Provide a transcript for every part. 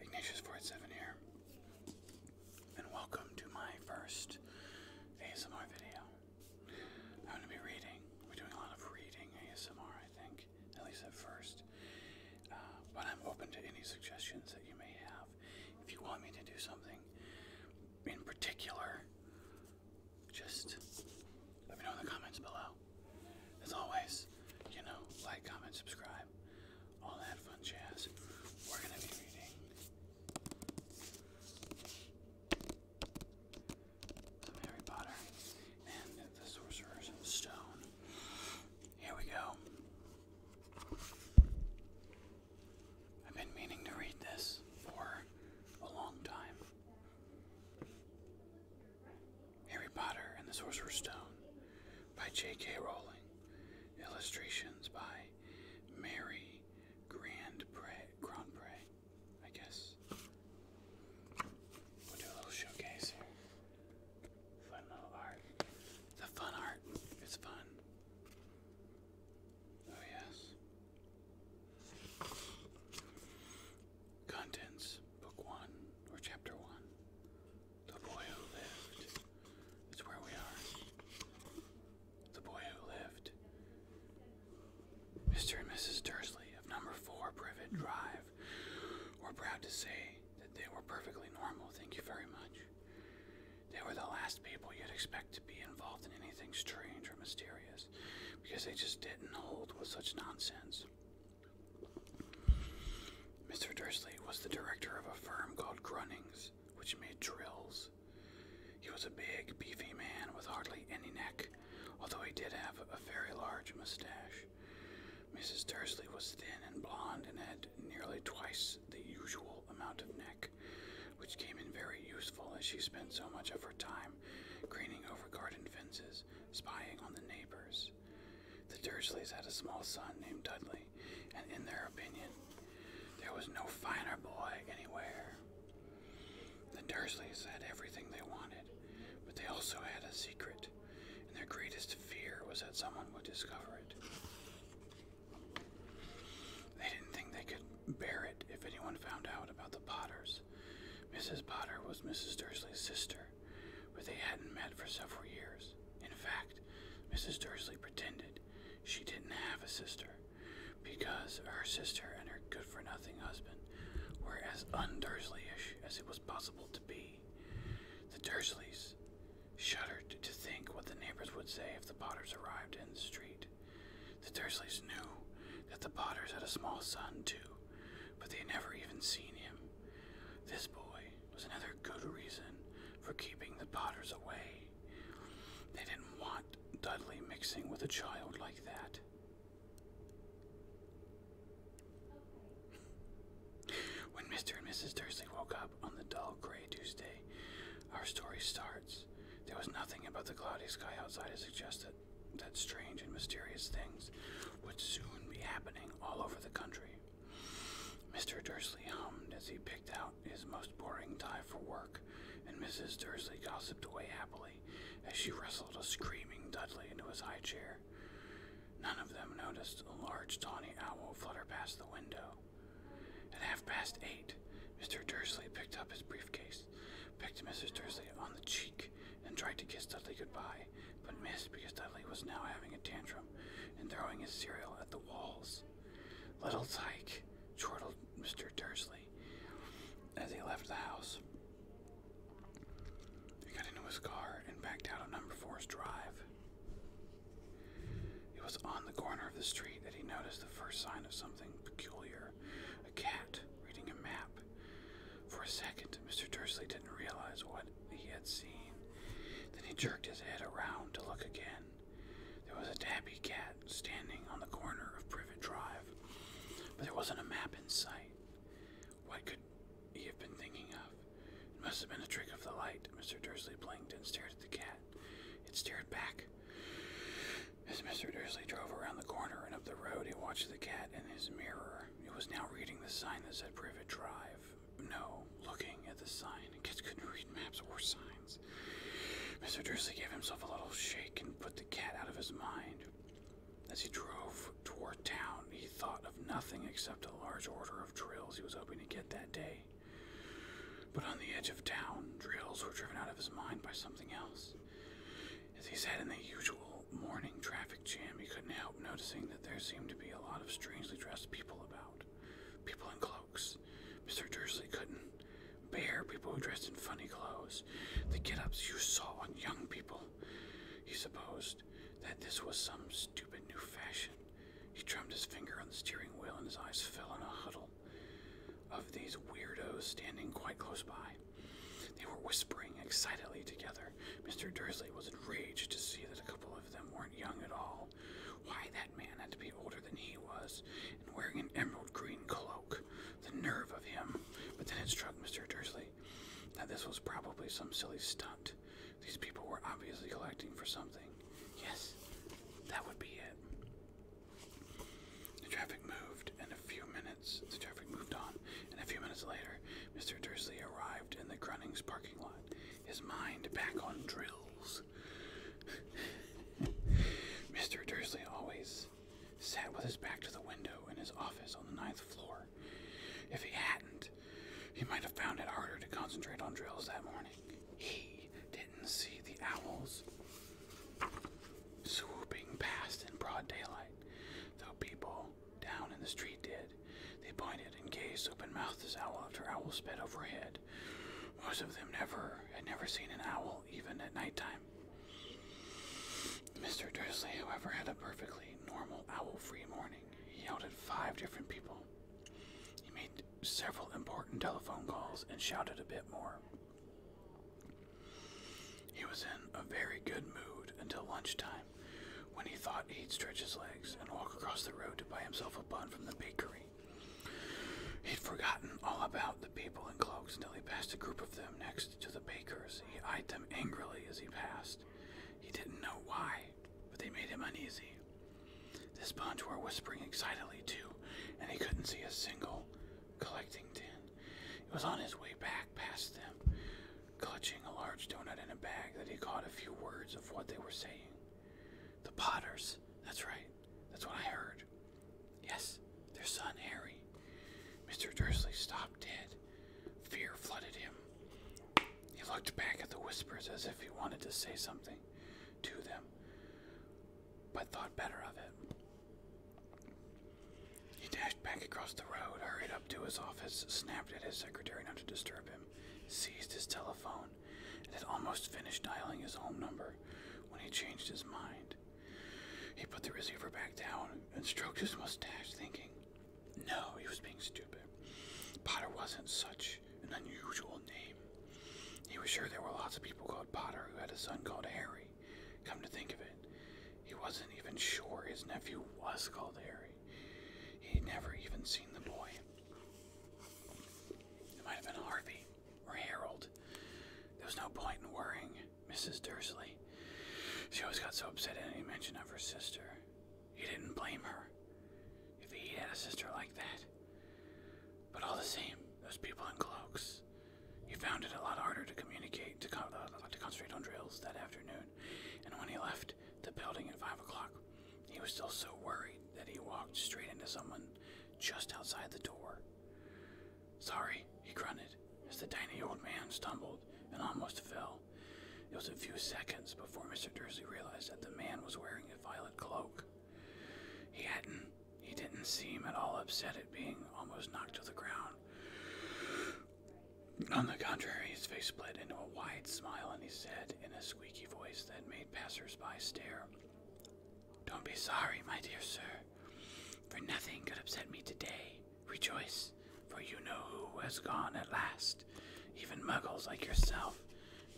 ignatius forty-seven here, and welcome to my first ASMR video. I'm going to be reading. We're doing a lot of reading ASMR, I think, at least at first. Uh, but I'm open to any suggestions that you may have. If you want me to do something in particular, just let me know in the comments below. As always, you know, like, comment, subscribe, all that fun jazz. We're going to be reading some Harry Potter and the Sorcerer's Stone. Here we go. I've been meaning to read this for a long time. Harry Potter and the Sorcerer's Stone by J.K. Rowling. Illustrations by Mary Grandpre, I guess. We'll do a little showcase here. Fun little art. The fun art. It's fun. Oh yes. Contents, Book 1, or Chapter 1 The Boy Who Lived. It's where we are. The Boy Who Lived. Mr. and Mrs. Dursley of number 4 Privet Drive were proud to say that they were perfectly normal, thank you very much. They were the last people you'd expect to be involved in anything strange or mysterious because they just didn't hold with such nonsense. Mr. Dursley was the director of a firm called Grunnings, which made drills. He was a big, beefy man with hardly any neck, although he did have a very large mustache. Mrs. Dursley was thin and blonde and had nearly twice the usual amount of neck, which came in very useful as she spent so much of her time craning over garden fences, spying on the neighbors. The Dursleys had a small son named Dudley, and in their opinion, there was no finer boy anywhere. The Dursleys had everything they wanted, but they also had a secret, and their greatest fear was that someone would discover it. They didn't think they could bear it if anyone found out about the Potters. Mrs. Potter was Mrs. Dursley's sister, sister, but they hadn't met for several years. In fact, Mrs. Dursley pretended she didn't have a sister because her sister and her good for nothing husband were as undursley-ish as it was possible to be. The Dursleys shuddered to think what the neighbors would say if the Potters arrived in the street. The Dursleys knew that the Potters had a small son, too, but they had never even seen him. This boy was another good reason for keeping the Potters away. They didn't want Dudley mixing with a child like that. When Mr. and Mrs. Dursley woke up on the dull gray Tuesday, our story starts. There was nothing about the cloudy sky outside to suggest that that strange and mysterious things would soon be happening all over the country. Mr. Dursley hummed as he picked out his most boring tie for work, and Mrs. Dursley gossiped away happily as she wrestled a screaming Dudley into his high chair. None of them noticed a large tawny owl flutter past the window. At half past eight, Mr. Dursley picked up his briefcase, picked Mrs. Dursley on the cheek, and tried to kiss Dudley goodbye, but missed because Dudley was now having a tantrum and throwing his cereal at the walls. Little Tyke, chortled Mr. Dursley as he left the house. He got into his car and backed out of number four's drive. It was on the corner of the street that he noticed the first sign of something peculiar a cat reading a map. For a second, Mr. Dursley didn't realize what he had seen. Then he jerked his head around to look again. There was a tabby cat standing on the corner of Privet Drive, but there wasn't a map in sight. What could he have been thinking of? It must have been a trick of the light. Mr. Dursley blinked and stared at the cat. It stared back. As Mr. Dursley drove around the corner and up the road, he watched the cat in his mirror However, it was now reading the sign that said Private Drive. No, looking at the sign. Kids couldn't read maps or signs. Mr. Driscoll gave himself a little shake and put the cat out of his mind. As he drove toward town, he thought of nothing except a large order of drills he was hoping to get that day. But on the edge of town, drills were driven out of his mind by something else. As he sat in the usual morning traffic, traffic couldn't help noticing that there seemed to be a lot of strangely dressed people about. People in cloaks. Mr. Dursley couldn't bear people who dressed in funny clothes. The get ups you saw on young people. He supposed that this was some stupid new fashion. He drummed his finger on the steering wheel and his eyes fell on a huddle of these weirdos standing quite close by. They were whispering excitedly together. Mr. Dursley was enraged to see that a couple of them weren't young at all. Why, that man had to be older than he was, and wearing an emerald green cloak. The nerve of him! But then it struck Mr. Dursley that this was probably some silly stunt. These people were obviously collecting for something. Yes, that would be it. The traffic moved, and a few minutes the traffic moved on and a few minutes later, Mr. Dursley arrived in the Grunnings parking lot, his mind back on drills. Mr. Dursley always sat with his back to the window in his office on the ninth floor. If he hadn't, he might have found it harder to concentrate on drills that morning. He didn't see the owls swooping past in broad daylight, though people down in the street did. They pointed and gazed open mouthed as owl after owl sped overhead. Most of them never had never seen an owl, even at night time. Mr. Dursley, however, had a perfectly normal owl-free morning. He yelled at five different people. He made several important telephone calls and shouted a bit more. He was in a very good mood until lunchtime when he thought he'd stretch his legs and walk across the road to buy himself a bun from the bakery. He'd forgotten all about the people in cloaks until he passed a group of them next to the bakers. He eyed them angrily as he passed. He didn't know why, but they made him uneasy. This bunch were whispering excitedly, too, and he couldn't see a single collecting tin. He was on his way back past them clutching a large donut in a bag that he caught a few words of what they were saying. The Potters, that's right, that's what I heard. Yes, their son Harry. Mr. Dursley stopped dead. Fear flooded him. He looked back at the whispers as if he wanted to say something to them, but thought better of it. He back across the road, hurried up to his office, snapped at his secretary not to disturb him, seized his telephone, and had almost finished dialing his home number when he changed his mind. He put the receiver back down and stroked his mustache, thinking, No, he was being stupid. Potter wasn't such an unusual name. He was sure there were lots of people called Potter who had a son called Harry. Come to think of it, he wasn't even sure his nephew was called Harry. He'd never even seen the boy. It might have been Harvey or Harold. There was no point in worrying Mrs. Dursley. She always got so upset at any mention of her sister. He didn't blame her if he had a sister like that. But all the same, those people in cloaks. you found it a lot harder to communicate, to, uh, to concentrate on drills that afternoon and when he left the building at five o'clock, he was still so worried that he walked straight into someone just outside the door. Sorry, he grunted as the tiny old man stumbled and almost fell. It was a few seconds before Mr. Dursley realized that the man was wearing a violet cloak. He hadn't, he didn't seem at all upset at being almost knocked to the ground. On the contrary, his face split into a wide smile, and he said in a squeaky voice that made passersby stare, Don't be sorry, my dear sir, for nothing could upset me today. Rejoice, for you know who has gone at last. Even muggles like yourself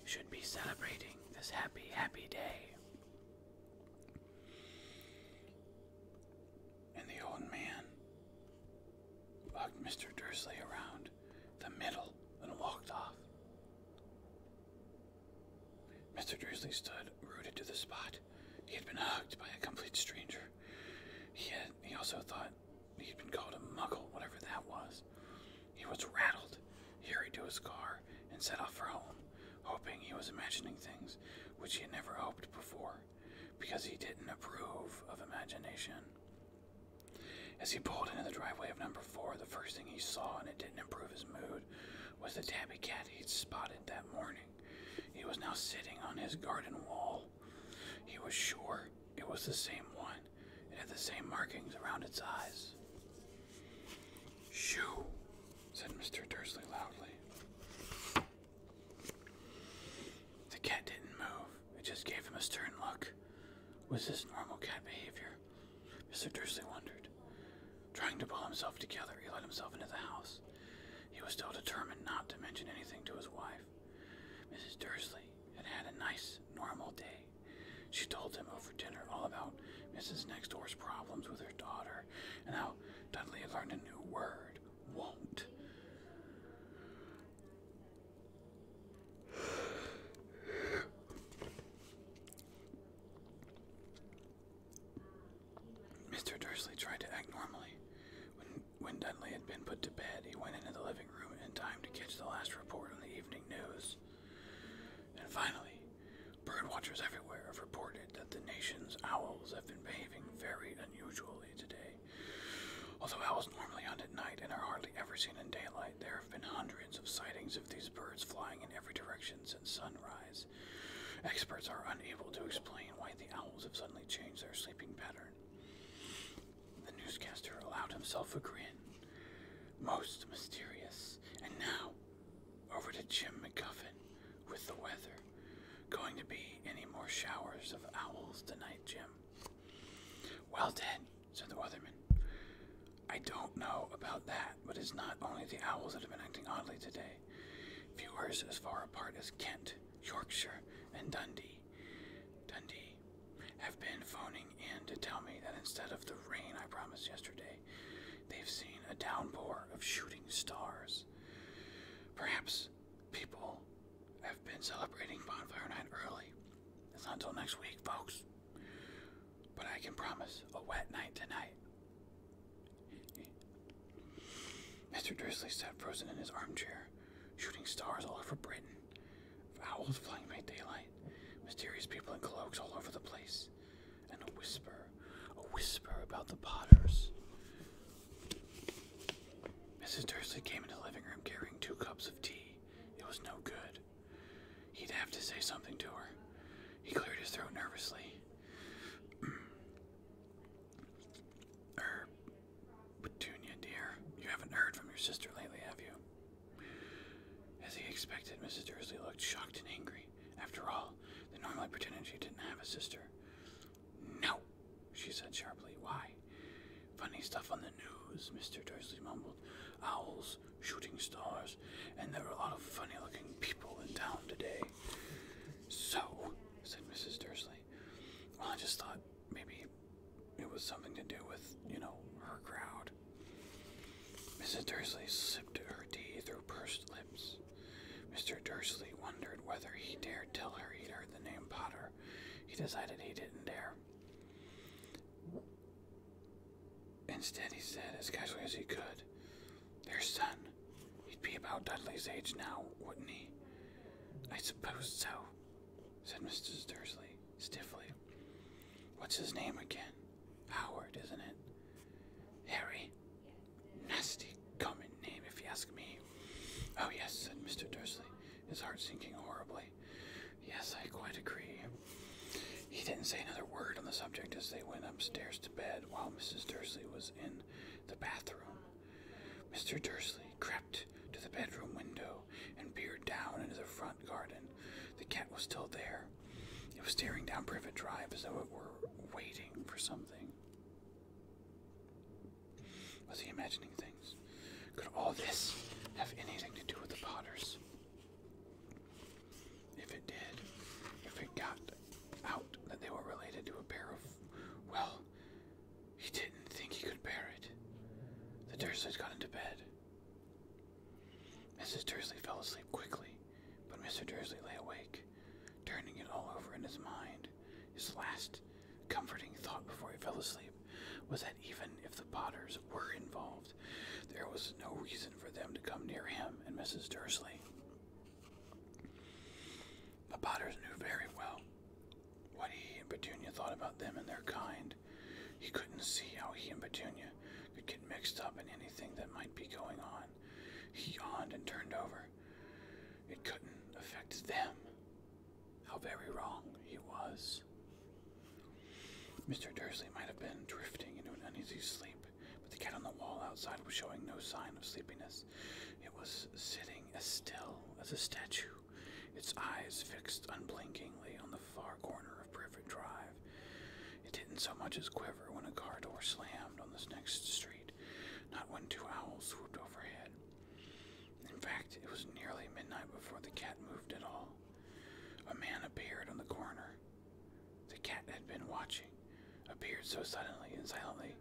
should be celebrating this happy, happy day. And the old man Bugged Mr. Dursley around the middle and walked off. Mr. Dursley stood rooted to the spot. He had been hugged by a complete stranger. He had he also thought he had been called a muggle, whatever that was. He was rattled. He hurried to his car and set off for home, hoping he was imagining things which he had never hoped before because he didn't approve of imagination. As he pulled into the driveway of number four, the first thing he saw, and it didn't improve his mood, was the tabby cat he'd spotted that morning. He was now sitting on his garden wall. He was sure it was the same one. It had the same markings around its eyes. Shoo, said Mr. Dursley loudly. The cat didn't move, it just gave him a stern look. Was this normal cat behavior? Mr. Dursley wondered. Trying to pull himself together, he let himself into the house. He was still determined not to mention anything to his wife. Mrs. Dursley had had a nice, normal day. She told him over dinner all about Mrs. Next Door's problems with her daughter and how Dudley had learned a new word, won't. Mr. Dursley tried to act normally. When, when Dudley had been put to bed, he went into the living room in time to catch the last report on the evening news. And finally, birdwatchers everywhere have reported that the nation's owls have been behaving very unusually today. Although owls normally hunt at night and are hardly ever seen in daylight, there have been hundreds of sightings of these birds flying in every direction since sunrise. Experts are unable to explain why the owls have suddenly changed their sleeping pattern. The newscaster allowed himself a grin. Most mysterious. And now, over to Jim McGuffin with the weather. Going to be any more showers of owls tonight, Jim? Well then, said the Weatherman, I don't know about that, but it's not only the owls that have been acting oddly today. Viewers as far apart as Kent, Yorkshire, and Dundee, Dundee, have been phoning in to tell me that instead of the rain I promised yesterday, they've seen a downpour of shooting stars. Perhaps people have been celebrating Bonfire Night early. It's not until next week, folks. But I can promise a wet night tonight. Mr. Dursley sat frozen in his armchair, shooting stars all over Britain, owls flying by daylight, mysterious people in cloaks all over the place, and a whisper, a whisper about the Potters. Mrs. Dursley came into the living room carrying two cups of tea. It was no good. He'd have to say something to her. He cleared his throat nervously. er, Petunia, dear, you haven't heard from your sister lately, have you? As he expected, Mrs. Dursley looked shocked and angry. After all, they normally pretended she didn't have a sister. No, she said sharply. Why? Funny stuff on the news, Mr. Dursley mumbled. Owls, shooting stars, and there were a lot of funny looking people in town today. So, said Mrs. Dursley, well, I just thought maybe it was something to do with, you know, her crowd. Mrs. Dursley sipped her tea through pursed lips. Mr. Dursley wondered whether he dared tell her he'd heard the name Potter. He decided he didn't dare. Instead, he said as casually as he could, Their son. He'd be about Dudley's age now, wouldn't he? I suppose so, said Mrs. Dursley stiffly. What's his name again? Howard, isn't it? Harry. Nasty, common name, if you ask me. Oh, yes, said Mr. Dursley, his heart sinking horribly. Yes, I quite agree. He didn't say another word on the subject as they went upstairs to bed while Mrs. Dursley was in the bathroom. Mr. Dursley crept to the bedroom window and peered down into the front garden. The cat was still there. It was staring down Privet Drive as though it were waiting for something. Was he imagining things? Could all this have anything to do with the Potters? If it did, if it got out that they were related to a pair of. Well, he didn't think he could bear it. The Dursleys got into bed. Mrs. Dursley fell asleep quickly, but Mr. Dursley lay awake, turning it all over in his mind, his last comforting thought before he fell asleep was that even if the Potters were involved, there was no reason for them to come near him and Mrs. Dursley. The Potters knew very well what he and Petunia thought about them and their kind. He couldn't see how he and Petunia could get mixed up in anything that might be going on. He yawned and turned over. It couldn't affect them how very wrong he was. Mr. Dursley might have been drifting into an uneasy sleep, but the cat on the wall outside was showing no sign of sleepiness. It was sitting as still as a statue, its eyes fixed unblinkingly on the far corner of Privet Drive. It didn't so much as quiver when a car door slammed on this next street, not when two owls swooped overhead. In fact, it was nearly midnight before the cat moved at all. A man appeared on the corner. The cat had been watching, appeared so suddenly and silently,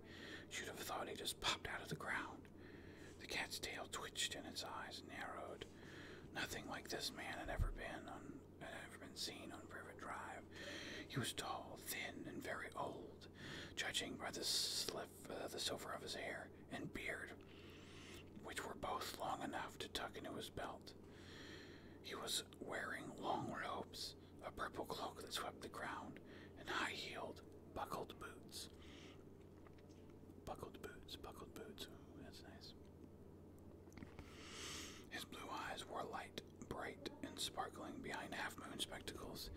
you'd have thought he just popped out of the ground. The cat's tail twitched and its eyes narrowed. Nothing like this man had ever been on, had ever been seen on River Drive. He was tall, thin, and very old. Judging by the sl uh, the silver of his hair and beard, which were both long enough to tuck into his belt. He was wearing long robes, a purple cloak that swept the ground, and high heeled, buckled boots. Buckled boots, buckled boots. that's nice. His blue eyes were light, bright, and sparkling behind half moon spectacles,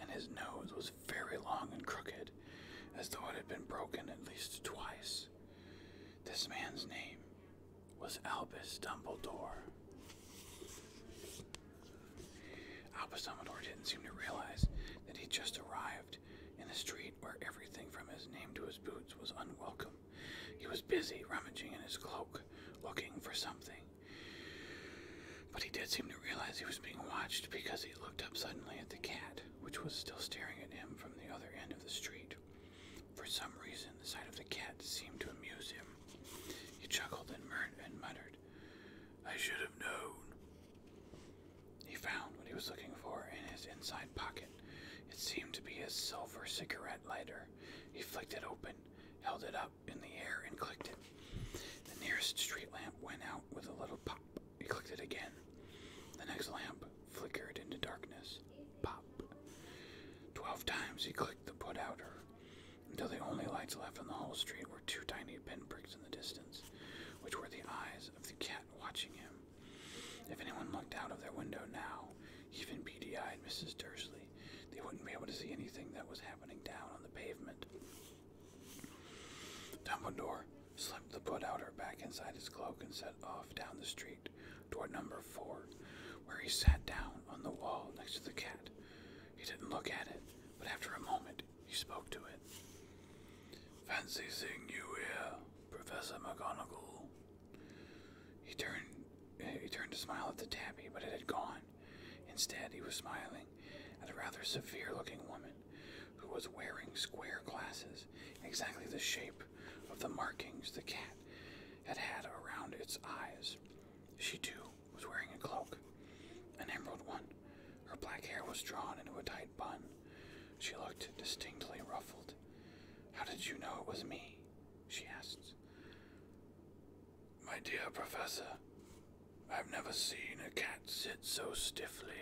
and his nose was very long and crooked, as though it had been broken at least twice. This man's name was Albus Dumbledore. Albus Dumbledore didn't seem to realize that he'd just arrived in a street where everything from his name to his boots was unwelcome. He was busy rummaging in his cloak, looking for something. But he did seem to realize he was being watched because he looked up suddenly at the cat which was still staring at him from the other end of the street. For some reason, the sight of the cat seemed to amuse him. He chuckled and, mur and muttered, I should have known. He found what he was looking for in his inside pocket. It seemed to be a silver cigarette lighter. He flicked it open, held it up in the air, and clicked it. The nearest street lamp went out with a little pop. He clicked it again. The next lamp flickered into darkness. Pop. Twelve times he clicked the put outer until the only lights left on the whole street were two tiny pinpricks in the distance, which were the eyes of the cat watching him. If anyone looked out of their window now, even beady and Mrs. Dursley, they wouldn't be able to see anything that was happening down on the pavement. Dumbledore slipped the put her back inside his cloak and set off down the street toward number four, where he sat down on the wall next to the cat. He didn't look at it, but after a moment he spoke to it. Fancy seeing you here, Professor McGonagall. He turned he turned to smile at the tabby, but it had gone. Instead, he was smiling at a rather severe looking woman who was wearing square glasses, exactly the shape of the markings the cat had had around its eyes. She, too, was wearing a cloak, an emerald one. Her black hair was drawn into a tight bun. She looked distinctly ruffled. How did you know it was me? she asked. My dear Professor, I've never seen a cat sit so stiffly.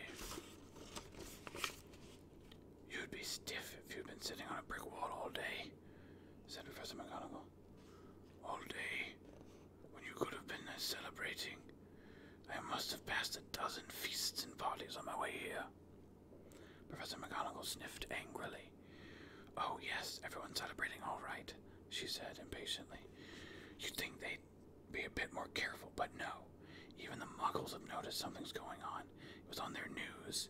You'd be stiff if you'd been sitting on a brick wall all day, said Professor McGonagall. All day, when you could have been celebrating. I must have passed a dozen feasts and parties on my way here. Professor McGonagall sniffed angrily. Oh, yes, everyone's celebrating all right, she said impatiently. You'd think they be a bit more careful, but no. Even the muggles have noticed something's going on. It was on their news.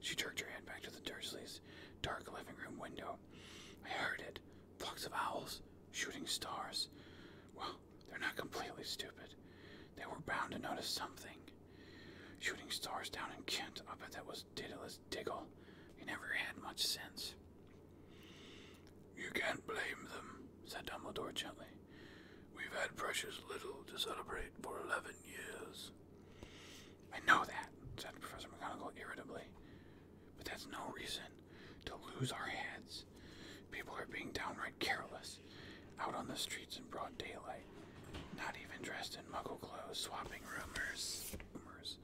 She jerked her head back to the Dursleys' dark living room window. I heard it. Flocks of owls, shooting stars. Well, they're not completely stupid. They were bound to notice something. Shooting stars down in Kent. I bet that was Daedalus Diggle. He never had much sense. You can't blame them, said Dumbledore gently. We've had precious little to celebrate for eleven years. I know that, said Professor McGonagall irritably. But that's no reason to lose our heads. People are being downright careless, out on the streets in broad daylight, not even dressed in muggle clothes, swapping rumors. rumors.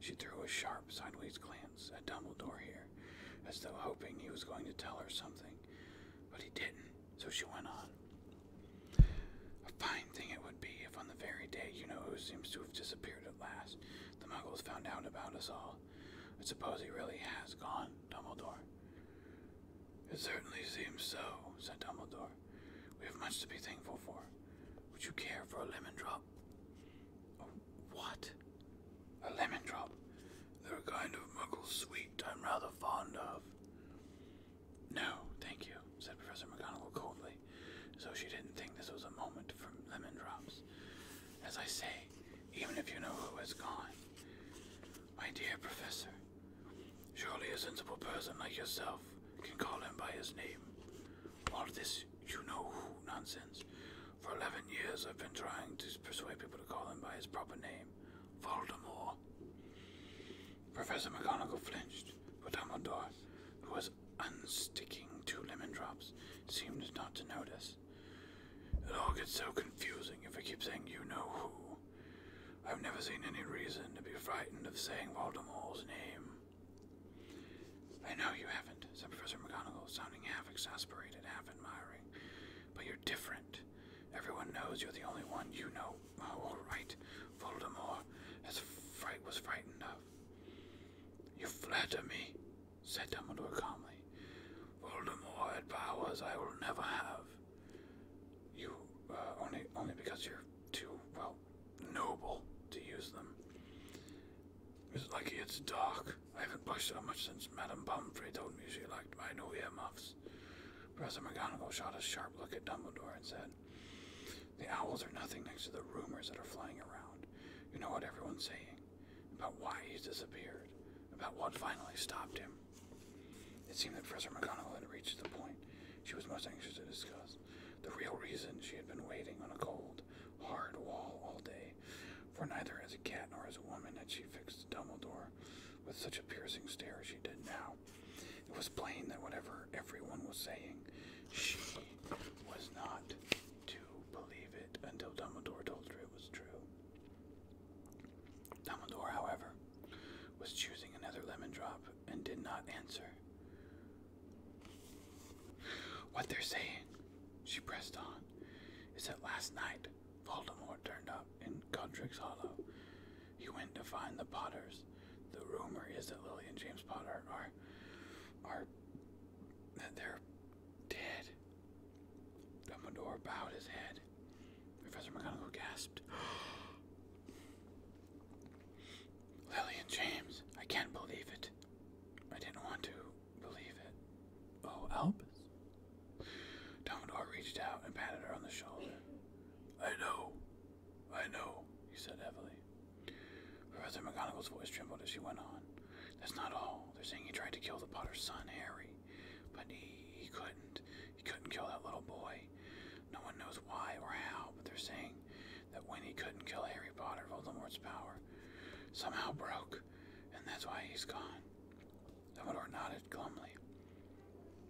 She threw a sharp, sideways glance at Dumbledore here, as though hoping he was going to tell her something. But he didn't, so she went on. A fine thing it would be if on the very day you know who seems to have disappeared at last, the muggles found out about us all. I suppose he really has gone, Dumbledore. It certainly seems so, said Dumbledore. We have much to be thankful for. Would you care for a lemon drop? A what? A lemon drop? They're a kind of muggle sweet I'm rather fond of. No, thank you, said Professor McGonagall coldly, so she didn't think this was a moment for lemon drops. As I say, even if you know who is gone. My dear Professor, surely a sensible person like yourself can call him by his name. All this you know who nonsense for eleven years, I've been trying to persuade people to call him by his proper name, Voldemort. Professor McGonagall flinched, but Dumbledore, who was unsticking two lemon drops, seemed not to notice. It all gets so confusing if we keep saying you know who. I've never seen any reason to be frightened of saying Voldemort's name. I know you haven't, said Professor McGonagall, sounding half exasperated, half admiring, but you're different. Everyone knows you're the only one you know oh, all right. Voldemort as fright was frightened of. You flatter me, said Dumbledore calmly. Voldemort had powers I will never have. You uh, only only because you're too well noble to use them. It's like it's dark. I haven't blushed so much since Madame Pomfrey told me she liked my new muffs. Professor McGonagall shot a sharp look at Dumbledore and said, The owls are nothing next to the rumors that are flying around. You know what everyone's saying about why he's disappeared, about what finally stopped him. It seemed that Professor McGonagall had reached the point she was most anxious to discuss. The real reason she had been waiting on a cold, hard wall all day, for neither as a cat nor as a woman had she fixed Dumbledore with such a piercing stare as she did now. It was plain that whatever everyone was saying, she was not to believe it until Dumbledore told her it was true. Dumbledore, however, was choosing another lemon drop and did not answer. What they're saying, she pressed on, is that last night Voldemort turned up in Godric's Hollow. He went to find the Potters. The rumor is that Lily and James Potter are are that they're dead. Dumbledore bowed his head. Professor McGonagall gasped. Lily and James, I can't believe it. I didn't want to believe it. Oh, Albus, Dumbledore reached out and patted her on the shoulder. I know, I know, he said heavily. Professor McGonagall's voice trembled as she went on. That's not all. They're saying he tried to kill the Potter's son, Harry, but he, he couldn't. He couldn't kill that little boy. No one knows why or how, but they're saying that when he couldn't kill Harry Potter, Voldemort's power somehow broke, and that's why he's gone. Amador nodded glumly.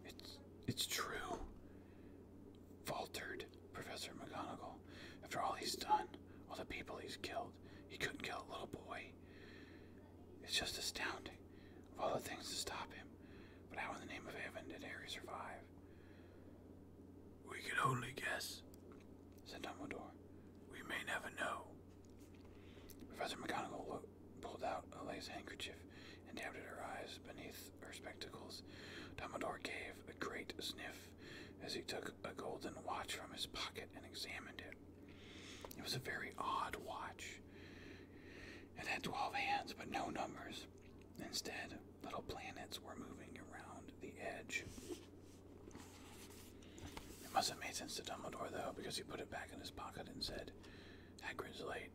It's it's true, faltered Professor McGonagall. After all he's done, all the people he's killed, he couldn't kill a little boy. It's just astounding, of all the things to stop him. But how in the name of heaven did Harry survive? We can only guess, said Dumbledore. We may never know. Professor McGonagall pulled out a lace handkerchief and dabbed at her eyes beneath her spectacles. Dumbledore gave a great sniff as he took a golden watch from his pocket and examined it. It was a very odd watch. It had twelve hands, but no numbers. Instead, little planets were moving around the edge. It must have made sense to Dumbledore, though, because he put it back in his pocket and said, Hagrid's late.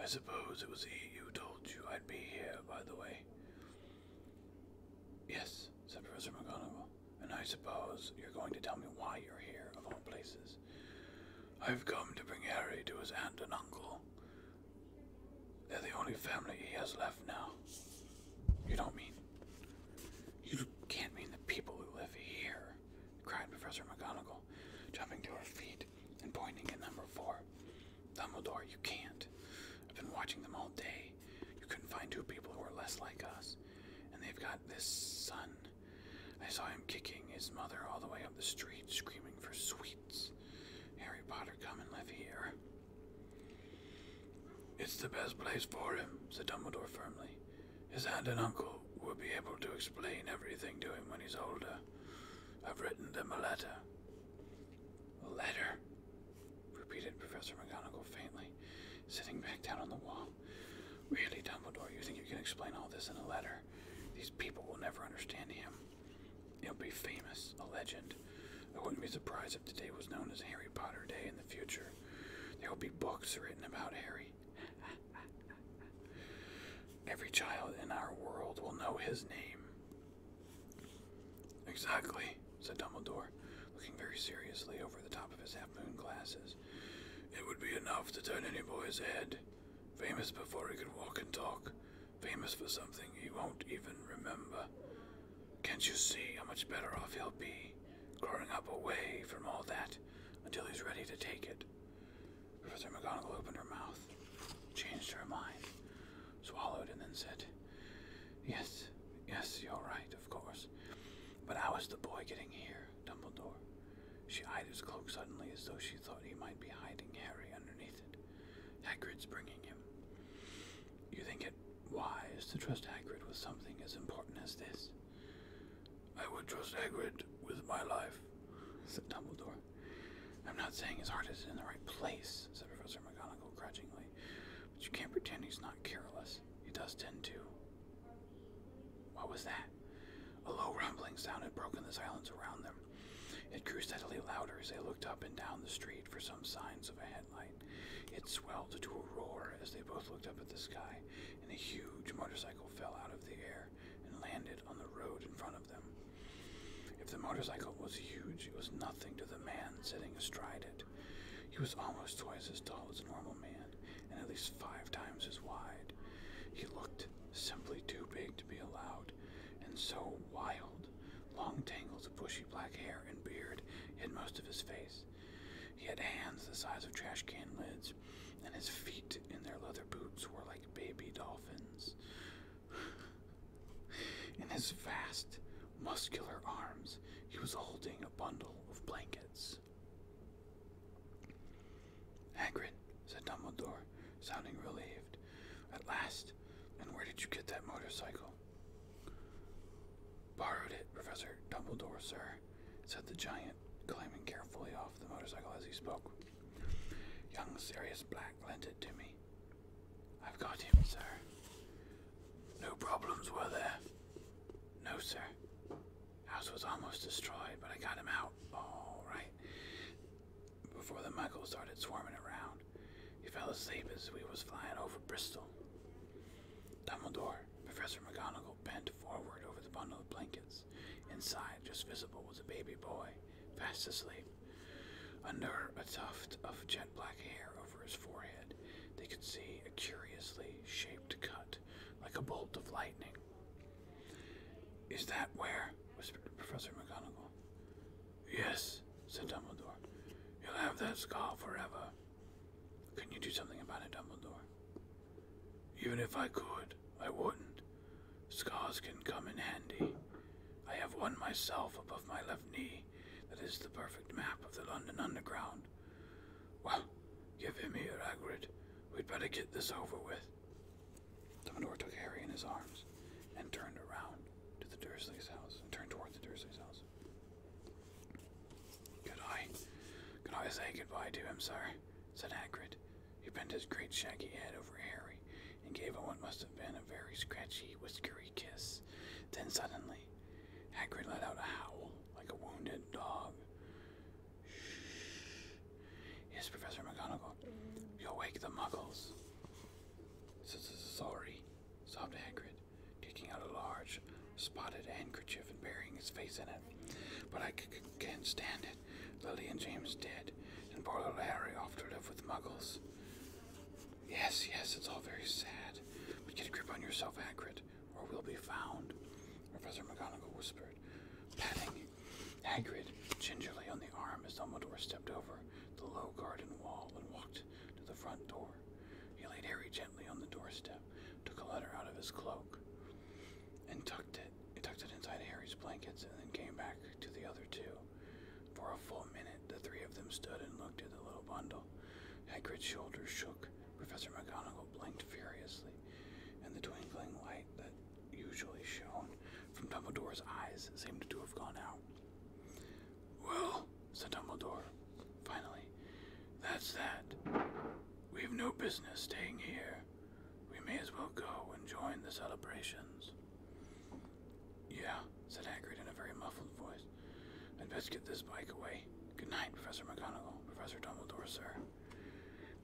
I suppose it was he who told you I'd be here, by the way. Yes, said Professor McGonagall, and I suppose you're going to tell me why you're here, of all places. I've come to bring Harry to his aunt and uncle. They're the only family he has left now. You don't mean. You can't mean the people who live here cried Professor McGonagall, jumping to her feet and pointing at number four. Dumbledore, you can't. I've been watching them all day. You couldn't find two people who are less like us. And they've got this son. I saw him kicking his mother all the way up the street, screaming for sweets. Harry Potter, come and live here. It's the best place for him, said Dumbledore firmly. His aunt and uncle will be able to explain everything to him when he's older. I've written them a letter. A letter? repeated Professor McGonagall faintly, sitting back down on the wall. Really, Dumbledore, you think you can explain all this in a letter? These people will never understand him. He'll be famous, a legend. I wouldn't be surprised if today was known as Harry Potter Day in the future. There will be books written about Harry, Every child in our world will know his name. Exactly, said Dumbledore, looking very seriously over the top of his half moon glasses. It would be enough to turn any boy's head. Famous before he could walk and talk. Famous for something he won't even remember. Can't you see how much better off he'll be growing up away from all that? until he's ready to take it. Professor McGonagall opened her mouth, changed her mind, swallowed, and then said, Yes, yes, you're right, of course. But how is the boy getting here, Dumbledore? She eyed his cloak suddenly as though she thought he might be hiding Harry underneath it. Hagrid's bringing him. You think it wise to trust Hagrid with something as important as this? I would trust Hagrid with my life, said Dumbledore. I'm not saying his heart is in the right place, said Professor McGonagall grudgingly, but you can't pretend he's not careless. He does tend to. What was that? A low rumbling sound had broken the silence around them. It grew steadily louder as they looked up and down the street for some signs of a headlight. It swelled to a roar as they both looked up at the sky and a huge motorcycle fell out of the air and landed on the road in front of them. If the motorcycle was huge, it was nothing to the man sitting astride it. He was almost twice as tall as a normal man, and at least five times as wide. He looked simply too big to be allowed, and so wild. Long tangles of bushy black hair and beard hid most of his face. He had hands the size of trash can lids, and his feet in their leather boots were like baby dolphins. in his vast, muscular arms, he was holding a bundle of blankets. Hagrid, said Dumbledore, sounding relieved. At last, and where did you get that motorcycle? Borrowed it, Professor Dumbledore, sir, said the giant climbing carefully off the motorcycle as he spoke. Young serious Black lent it to me. I've got him, sir. No problems were there? No, sir. House was almost destroyed, but I got him out. All right. Before the muggles started swarming around, he fell asleep as we was flying over Bristol. Dumbledore Professor McGonagall bent forward over the bundle of blankets. Inside, just visible, was a baby boy, fast asleep. Under a tuft of jet black hair over his forehead, they could see a curiously shaped cut, like a bolt of lightning. Is that where? whispered Professor McGonagall. Yes, said Dumbledore. You'll have that scar forever. Can you do something about it, Dumbledore? Even if I could, I wouldn't. Scars can come in handy. I have one myself above my left knee that is the perfect map of the London Underground. Well, give him here, Hagrid. We'd better get this over with. Dumbledore took Harry in his arms and turned around to the Dursleys' house and turned toward the Dursleys' house. Could I, could I say goodbye to him, sir? said Hagrid. He bent his great shaggy head over Harry and gave him what must have been a very scratchy, whiskery kiss. Then suddenly, Hagrid let out a howl like a wounded dog. Shh! Yes, Professor McGonagall. You'll wake the muggles. Sorry, sobbed Hagrid, taking out a large, spotted handkerchief and burying his face in it. But I c c can't stand it. Lily and James dead, and poor little Harry off to live with muggles. Yes, yes, it's all very sad. But get a grip on yourself, Hagrid, or we'll be found. Professor McGonagall whispered, patting Hagrid gingerly on the arm as Dumbledore stepped over the low garden wall and walked to the front door. He laid Harry gently on the doorstep, took a letter out of his cloak, and tucked it he tucked it inside Harry's blankets, and then came back to the other two. For a full minute, the three of them stood and looked at the little bundle. Hagrid's shoulders shook. Professor McGonagall blinked furiously, and the twinkling light that usually shone from Dumbledore's eyes seemed to have gone out. Well, said Dumbledore, finally, that's that. We've no business staying here. We may as well go and join the celebrations. Yeah, said Hagrid in a very muffled voice. i best get this bike away. Good night, Professor McGonagall, Professor Dumbledore, sir.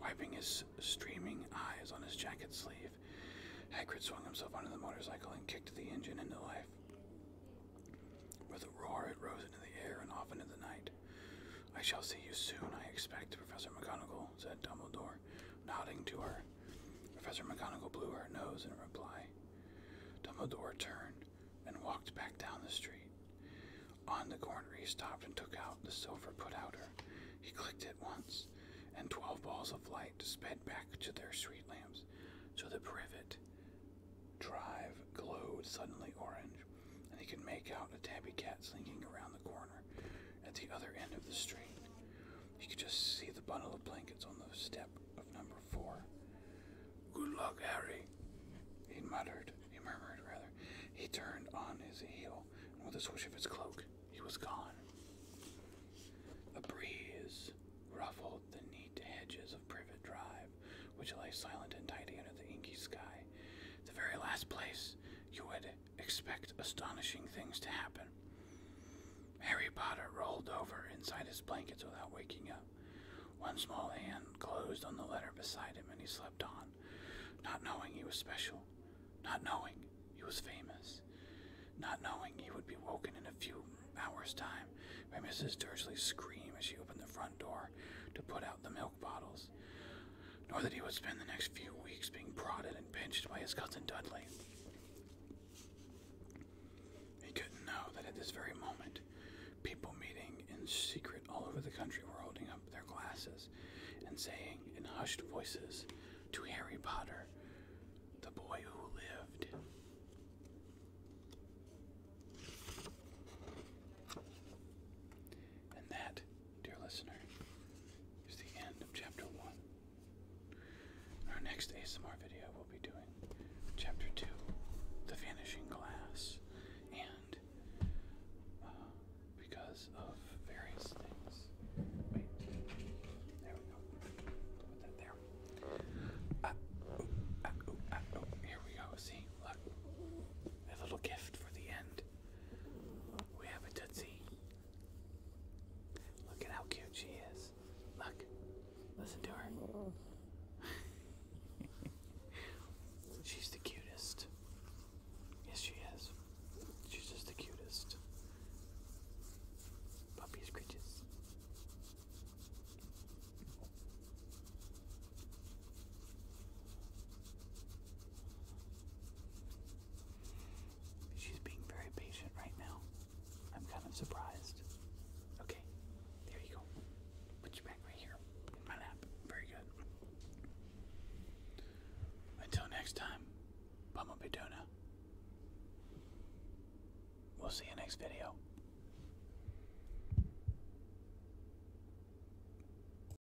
Wiping his streaming eyes on his jacket sleeve, Hagrid swung himself onto the motorcycle and kicked the engine into life. With a roar, it rose into the air and off into the night. I shall see you soon, I expect, Professor McGonagall, said Dumbledore, nodding to her. Professor McGonagall blew her nose in reply. Dumbledore turned and walked back down the street. On the corner, he stopped and took out the silver put-outer. He clicked it once, and twelve balls of light sped back to their street lamps. So the privet drive glowed suddenly orange and he could make out a tabby cat slinking around the corner at the other end of the street. He could just see the bundle of blankets on the step of number four. Good luck, Harry, he muttered. He murmured, rather. He turned on his heel, and with a swish of his cloak, he was gone. A breeze ruffled the neat hedges of Privet Drive, which lay silent and tidy under the inky sky. The very last place you would expect astonishing things to happen. Harry Potter rolled over inside his blankets without waking up. One small hand closed on the letter beside him, and he slept on, not knowing he was special, not knowing he was famous, not knowing he would be woken in a few hours' time by Mrs. Dursley's scream as she opened the front door to put out the milk bottles nor that he would spend the next few weeks being prodded and pinched by his cousin Dudley. He couldn't know that at this very moment, people meeting in secret all over the country were holding up their glasses and saying in hushed voices to Harry Potter, the boy who lived. And that dear listener, it's the end of chapter one. our next ASMR video, will be doing chapter two, The Vanishing Glass, and uh, because of various things. Wait, there we go. Put that there. Uh, oh, uh, oh, oh, here we go. See, look, a little gift for the end. We have a Tootsie. Look at how cute she is. Look. Listen to her. She's the cutest. Yes, she is. She's just the cutest. Puppy scritches. She's being very patient right now. I'm kind of surprised. Okay, there you go. Put you back right here in my lap. Very good. Until next time, Bama Bedona. We'll see you next video.